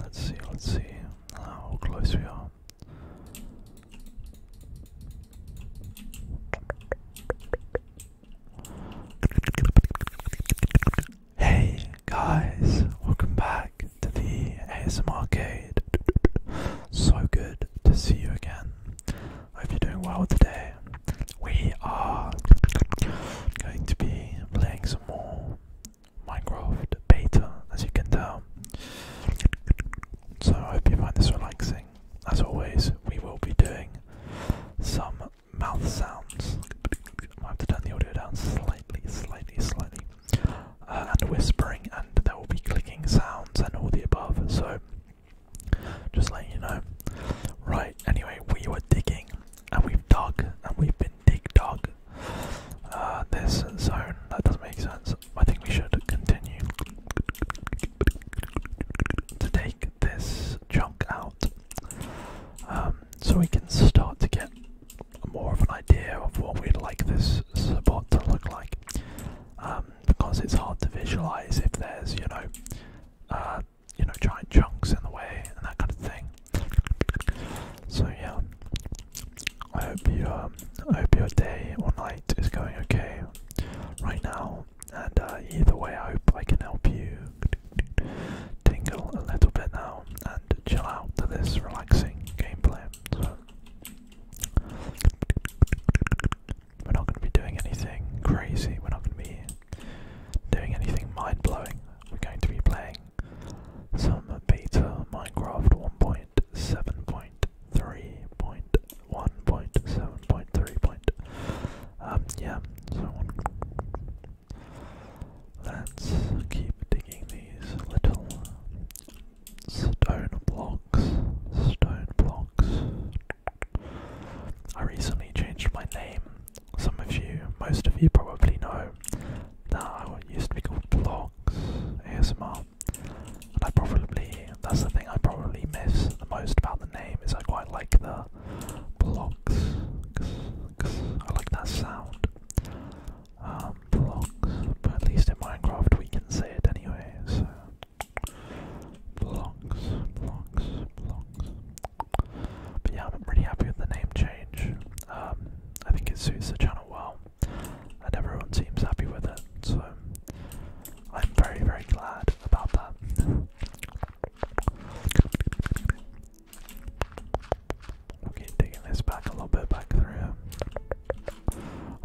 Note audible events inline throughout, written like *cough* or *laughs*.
Let's see, let's see how close we are. Hey guys, welcome back to the ASM So good to see you again. Hope you're doing well today. We are going to be playing some more Minecraft beta, as you can tell. So I hope you find this relaxing. As always, we will be doing some mouth sounds. I have to turn the audio down slightly, slightly, slightly. Uh, and whispering, and there will be clicking sounds and all the above. So, just letting you know. Right, anyway, we were digging and we've dug and we've been Dig Dog uh, this zone. That doesn't make sense. I think we should continue to take this chunk out um, so we can start to get more of an idea of what we'd like this spot to look like. Um, because it's hard to visualize if there's, you know, uh, you know, giant chunks in the way and that kind of thing. So yeah, I hope you um, I hope your day or night is going okay right now. And uh, either way, I hope I can help you tingle a little bit now and chill out to this relaxing game plan. we're not going to be doing anything crazy. We're not going to be doing anything mind blowing. We're going to be playing some beta Minecraft 1.7.3.1.7.3. Um, yeah, so let's keep digging these little stone blocks. Stone blocks. I recently changed my name. Some of you, most of you probably know, that used to be called Vlogs ASMR. And I probably, that's the thing I probably miss the most about the name, is I quite like the Vlogs, because I like that sound. Um, but at least in Minecraft we can say it anyway, so... Vlogs, Vlogs, Vlogs. But yeah, I'm really happy with the name change. Um, I think it suits the channel well and everyone seems happy with it, so I'm very, very glad about that. we digging this back a little bit back through.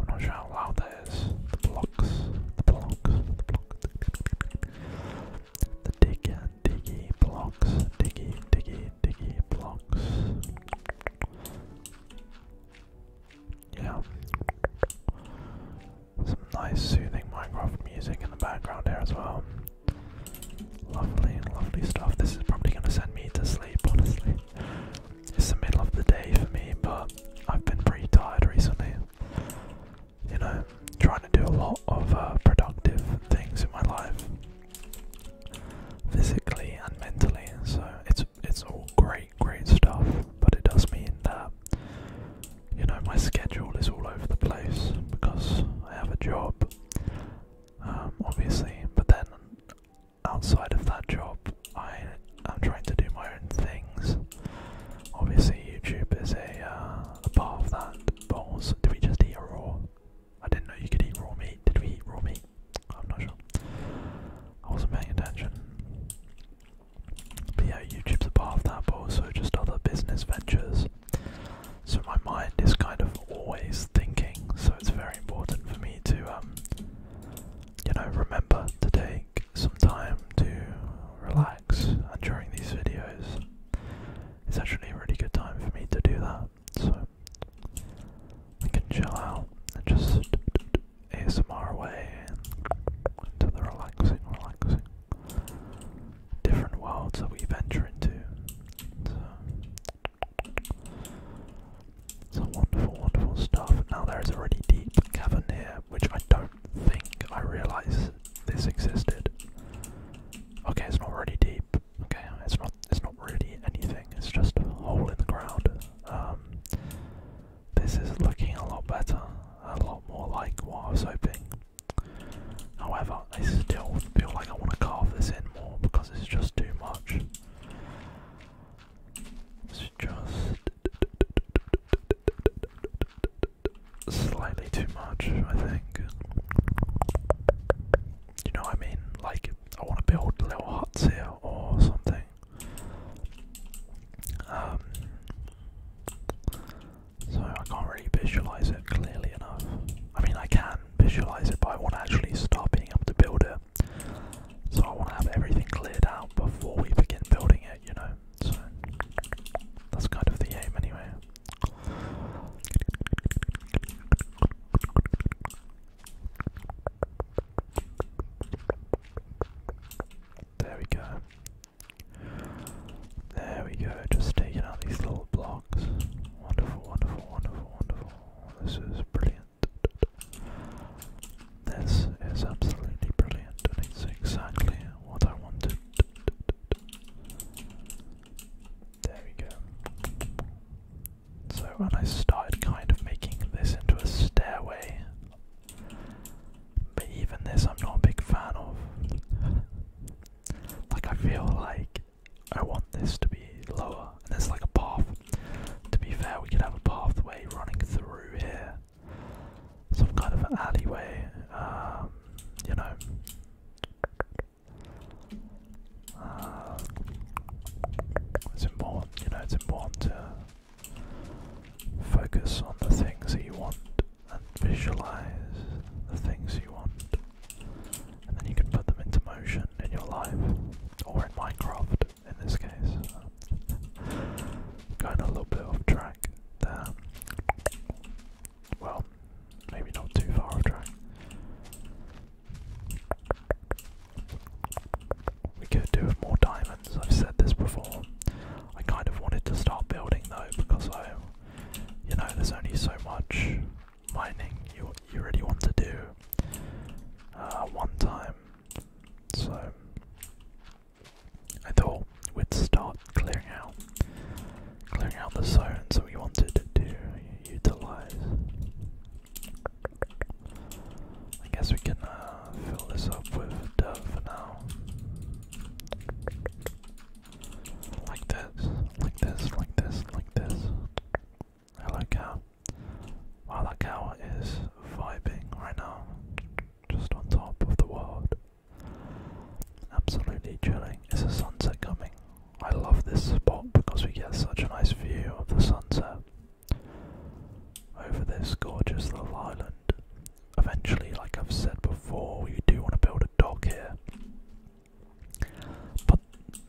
I'm not sure how loud that is. blocks, the blocks, the blocks. The diggy, diggy blocks, diggy, diggy, diggy blocks. Yeah. Some nice soothing Minecraft music in the background here as well. Lovely, lovely stuff. This is probably going to send me to sleep, honestly. It's the middle of the day for me, but I've been pretty tired recently. You know, trying to do a lot of uh, productive things in my life physically and mentally. So it's it's all great, great stuff. But it does mean that you know my schedule is all over the place because I have a job, um, obviously. But then outside of that job, I am trying to do my own things. Obviously, YouTube is a uh, part of that. Bowls? Did we just eat raw? I didn't know you could eat raw meat. Did we eat raw meat? I'm not sure. I wasn't paying attention. yeah, YouTube's a part of that, but also just other business ventures. So my mind is kind of always thinking, so it's very important for me to, um, you know, remember to take some time to relax. And during these videos, it's actually a really good time for me to do that so we can chill out and just ASMR way into the relaxing, relaxing different worlds that we venture into. it's uh, a wonderful, wonderful stuff. Now there is a really deep cavern here, which I don't think I realise this existed. Okay, it's not really deep, Okay, it's not it's not really anything, it's just a hole in the ground. Um, this is looking a lot better, a lot more like what I was hoping. However, I still feel like I want to carve this in more because it's just too much. It's just slightly too much, I think. You know what I mean? Like I want to build little huts here or something. Um, so I can't really visualize it clearly enough. I mean, I can visualize it, but I want to actually start being able to build it. So I want to have everything cleared out before we begin building it, you know. So that's kind of the aim, anyway. There we go. There we go. Just taking out these little blocks. Wonderful, wonderful, wonderful, wonderful. This is brilliant. This is absolutely brilliant, and it's exactly what I wanted. There we go. So when I started kind of making this into a stairway, but even this I'm not a big fan of. like I feel like I want this to be lower, and it's like a path. To be fair, we could have a pathway running through here, some kind of alleyway, um, you know. Um, it's important, you know, it's important to focus on the things that you want and visualize the things you want. And then you can put them into motion in your life, or in Minecraft in this case. *laughs* going a little bit off track there. Well, maybe not too far off track. We could do with more diamonds, I've said this before. I kind of wanted to start building though because I you know there's only so much mining you you really want to do uh one time. So I thought we'd start clearing out clearing out the zones that we wanted to utilize. I guess we can uh, fill this up with dove for now. Like this, like this, like this, like this. Hello cow. Wow, cow is vibing right now. Just on top of the world. Absolutely chilling. Is the sunset coming? I love this spot because we get such a nice view of the sunset over this gorgeous little island. Eventually, like I've said before, we do want to build a dock here. But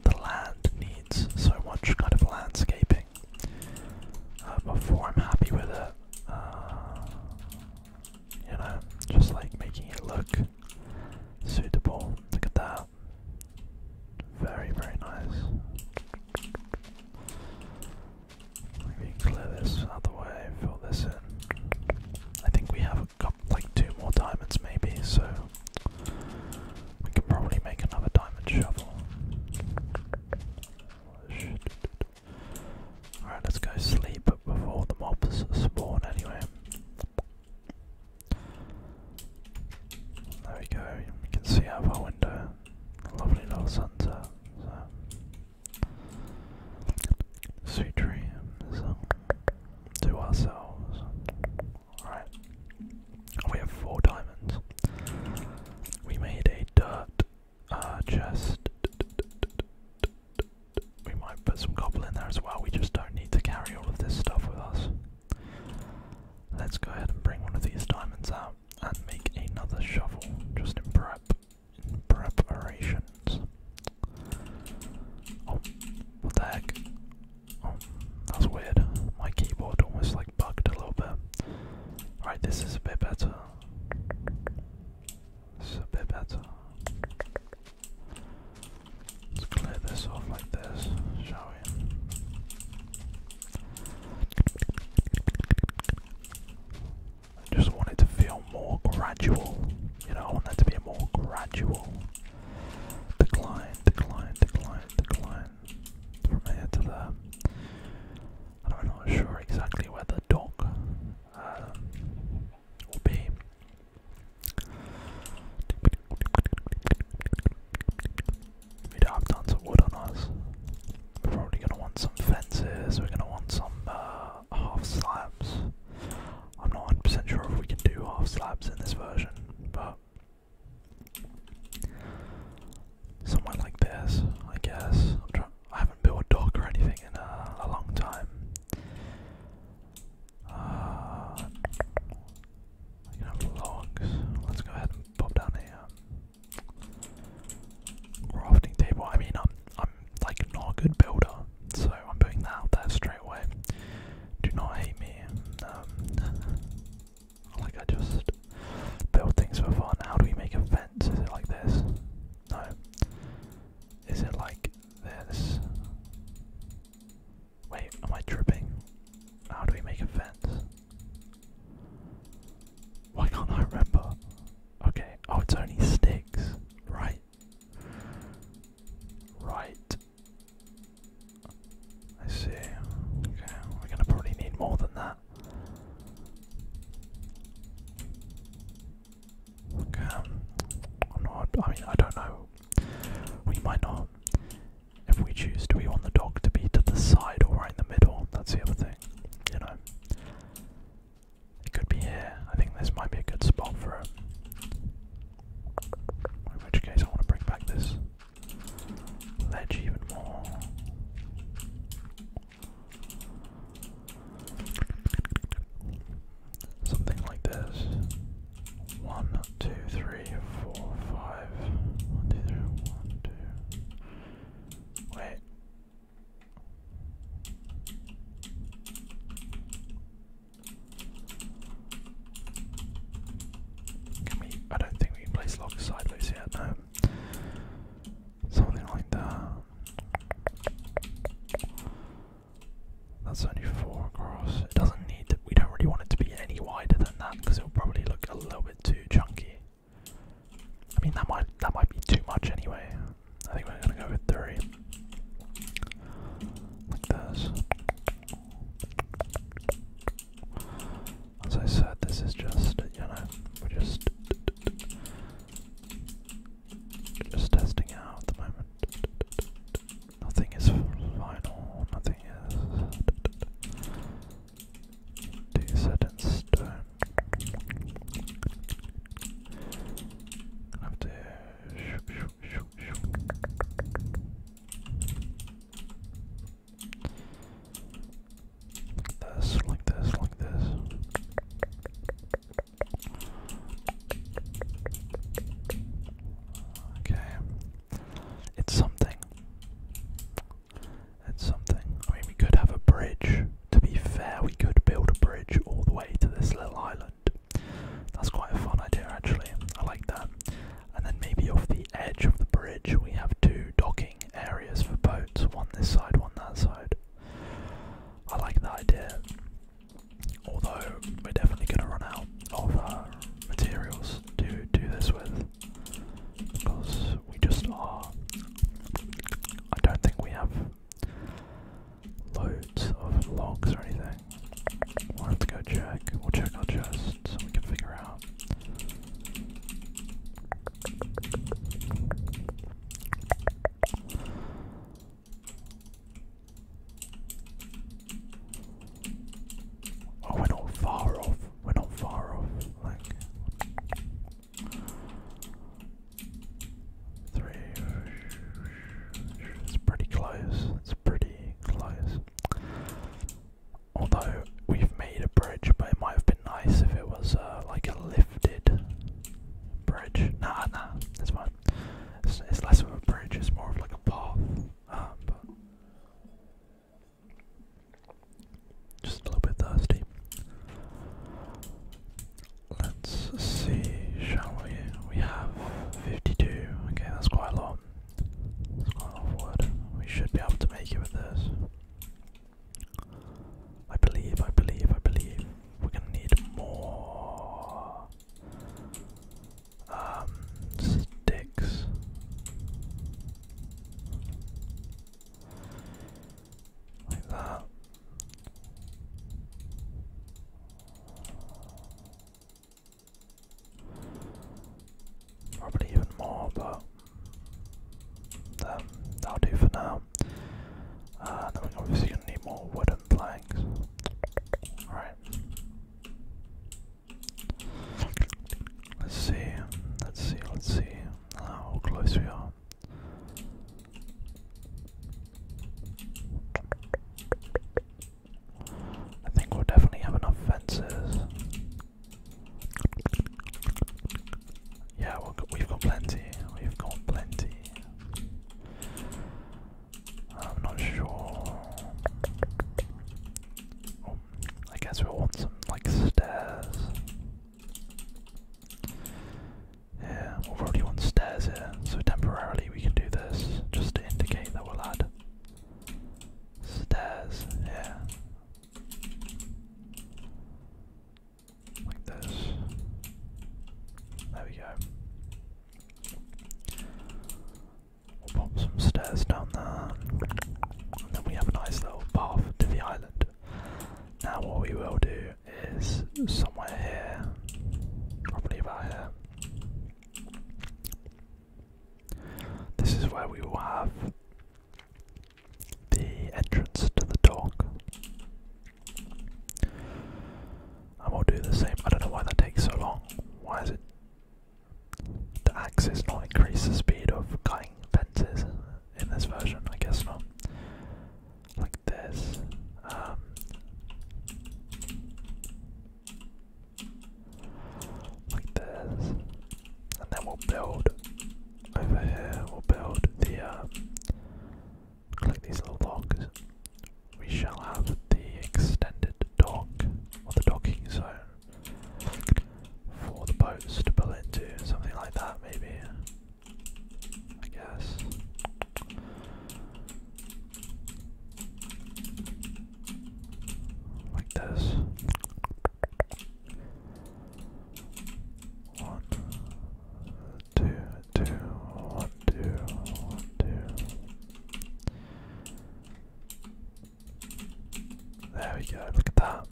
the land needs so much kind of landscaping uh, before I'm happy with it. Uh, you know, just like making it look suitable. Look at that. Very, very nice. We can clear this out way, fill this in. I think we have like two more diamonds maybe, so we can probably make another diamond shovel. Alright, let's go sleep before the mobs spawn anyway. There we go, we can see out of our window. A lovely little sunset. So. Sweet dreams um, to ourselves. Alright. We have four diamonds. We made a dirt uh, chest. We might put some cobble in there as well. We just don't need to carry all of this stuff with us. Let's go ahead and bring one of these diamonds out and make another shovel just in prep in preparations. Oh, what the heck? Oh, that's weird. My keyboard almost like bugged a little bit. Right, this is a bit better. This a bit better. Let's clear this off like this, shall we? I just want it to feel more gradual. You know, I want that to be a more gradual decline, decline, decline, decline from here to there. I'm not sure exactly where the dock uh, will be. We do have tons of wood on us. We're probably gonna want some fences, we're gonna want some uh, half slabs. I'm not 100% sure if we can do half slabs in this version, but somewhere like this, I guess. i haven't built a dock or anything in uh, a, long time. Uh, I logs. Let's go ahead pop down a um, crafting table. I mean, I'm I'm like not a good builder, so I'm putting that out straight away. Do not hate me. Um, *laughs* like I just build things for fun. How do we make a fence? Is it like this? No. Is it like this? Wait, am I tripping? How do we make a fence? Why can't I remember? Okay, oh, it's only sticks. Right. Right. I see. Okay, we're gonna probably need more than that. Okay. I'm not, I mean, I don't know. We might not if we choose, do we want the dog to be to the side or right in the middle? That's the other thing, you know. It could be here. I think this might be a good spot for it. In which case, I want to bring back this ledge even more. Something like this. One, two, three three, four, five. One, two, three, one, two. Wait. Can we? I don't think we can place logs sideways yet. No. Something like that. That's only four across. It doesn't need to, we don't really want it to be any wider than that because it'll probably look a little bit too chunky. I mean that might that might be too much anyway. I think we're gonna go with three. Like this. As I said, this is just you know, we're just just testing out at the moment. Nothing is final, nothing is do set in I have to this, like this, like this. Okay. It's something. That's something. I mean, we could have a bridge. To be fair, we could build a bridge all the way to this little island. That's quite a fun idea, actually. I like that. And then maybe off the edge of the bridge, we have two docking areas for boats one this side, one that side. I like that idea. Although, we're definitely going to run out of uh, materials to do this with because we just are. I don't think we have loads of logs or anything. We'll have to go check. We'll check our chest so we can figure out. Oh, we're not far off we're not far off. Like three. It's pretty close. It's pretty close. Although we've made a bridge, but it might have been nice if it was uh, like a lifted bridge. Nah, nah, it's fine. It's, less of a bridge. It's more of like a path. Uh, just a little bit thirsty. Let's see, shall we? We have 52. Okay, that's quite a lot. That's quite a lot of wood. We should be able to make it with this. I believe, I believe, I believe. We're gonna need more um, sticks. Like that. Probably even more, but um, that'll do for now. Uh, then we're obviously going to need more wooden planks. Alright. Let's see, let's see, let's see how close we are. I think we'll definitely have enough fences. Yeah, we have got plenty. We've got plenty. I'm not sure. Oh, I guess we'll want some like stairs. Yeah, we've already want stairs here, so temporarily we can do this just to indicate that we'll add stairs here. Like this. There we go. pop some stairs down there. And then we have a nice little path to the now what we will do is somewhere here, probably about here. This is where we will have the entrance to the dock. And we'll do the same. I don't know why that takes so long. Why is it? The axe is not increase the speed of cutting fences in this version, I guess not. Like this. Um, like this. And then we'll build over here, we'll build the, uh, these little blocks. We shall have the extended dock, or the docking zone for the boats to pull into, something like that, maybe. I guess. Like this. One, two, two, one, two, one, two. There we go, look at that.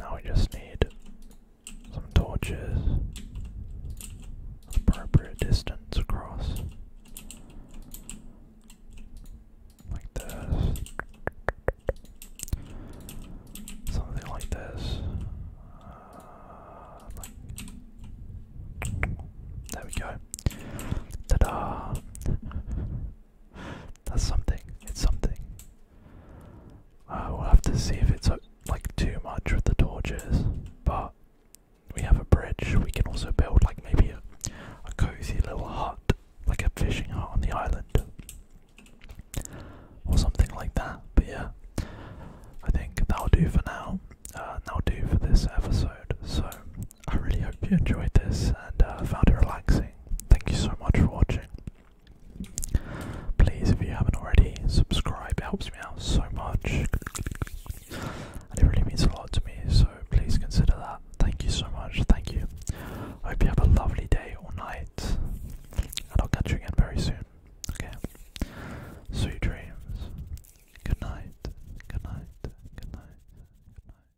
Now we just need some torches, appropriate distance across. Like this. Something like this. Uh, there we go. Ta-da! That's something. It's something. Uh, we'll have to see if it's uh, like too much with the torches, but we have a bridge. We can also build like maybe a, cozy little hut, like a fishing hut on the island, or something like that. But yeah, I think that'll do for now. Uh, that'll do for this episode. So I really hope you enjoyed this and uh, found it relaxing. Thank you so much for watching. Please, if you haven't already, subscribe. It helps me out so much. And it really means a lot to me, so please consider that. Thank you so much. Thank you. I hope you have a lovely day or night. And I'll catch you again very soon. Okay? Sweet dreams. Good night. Good night. Good night. Good night.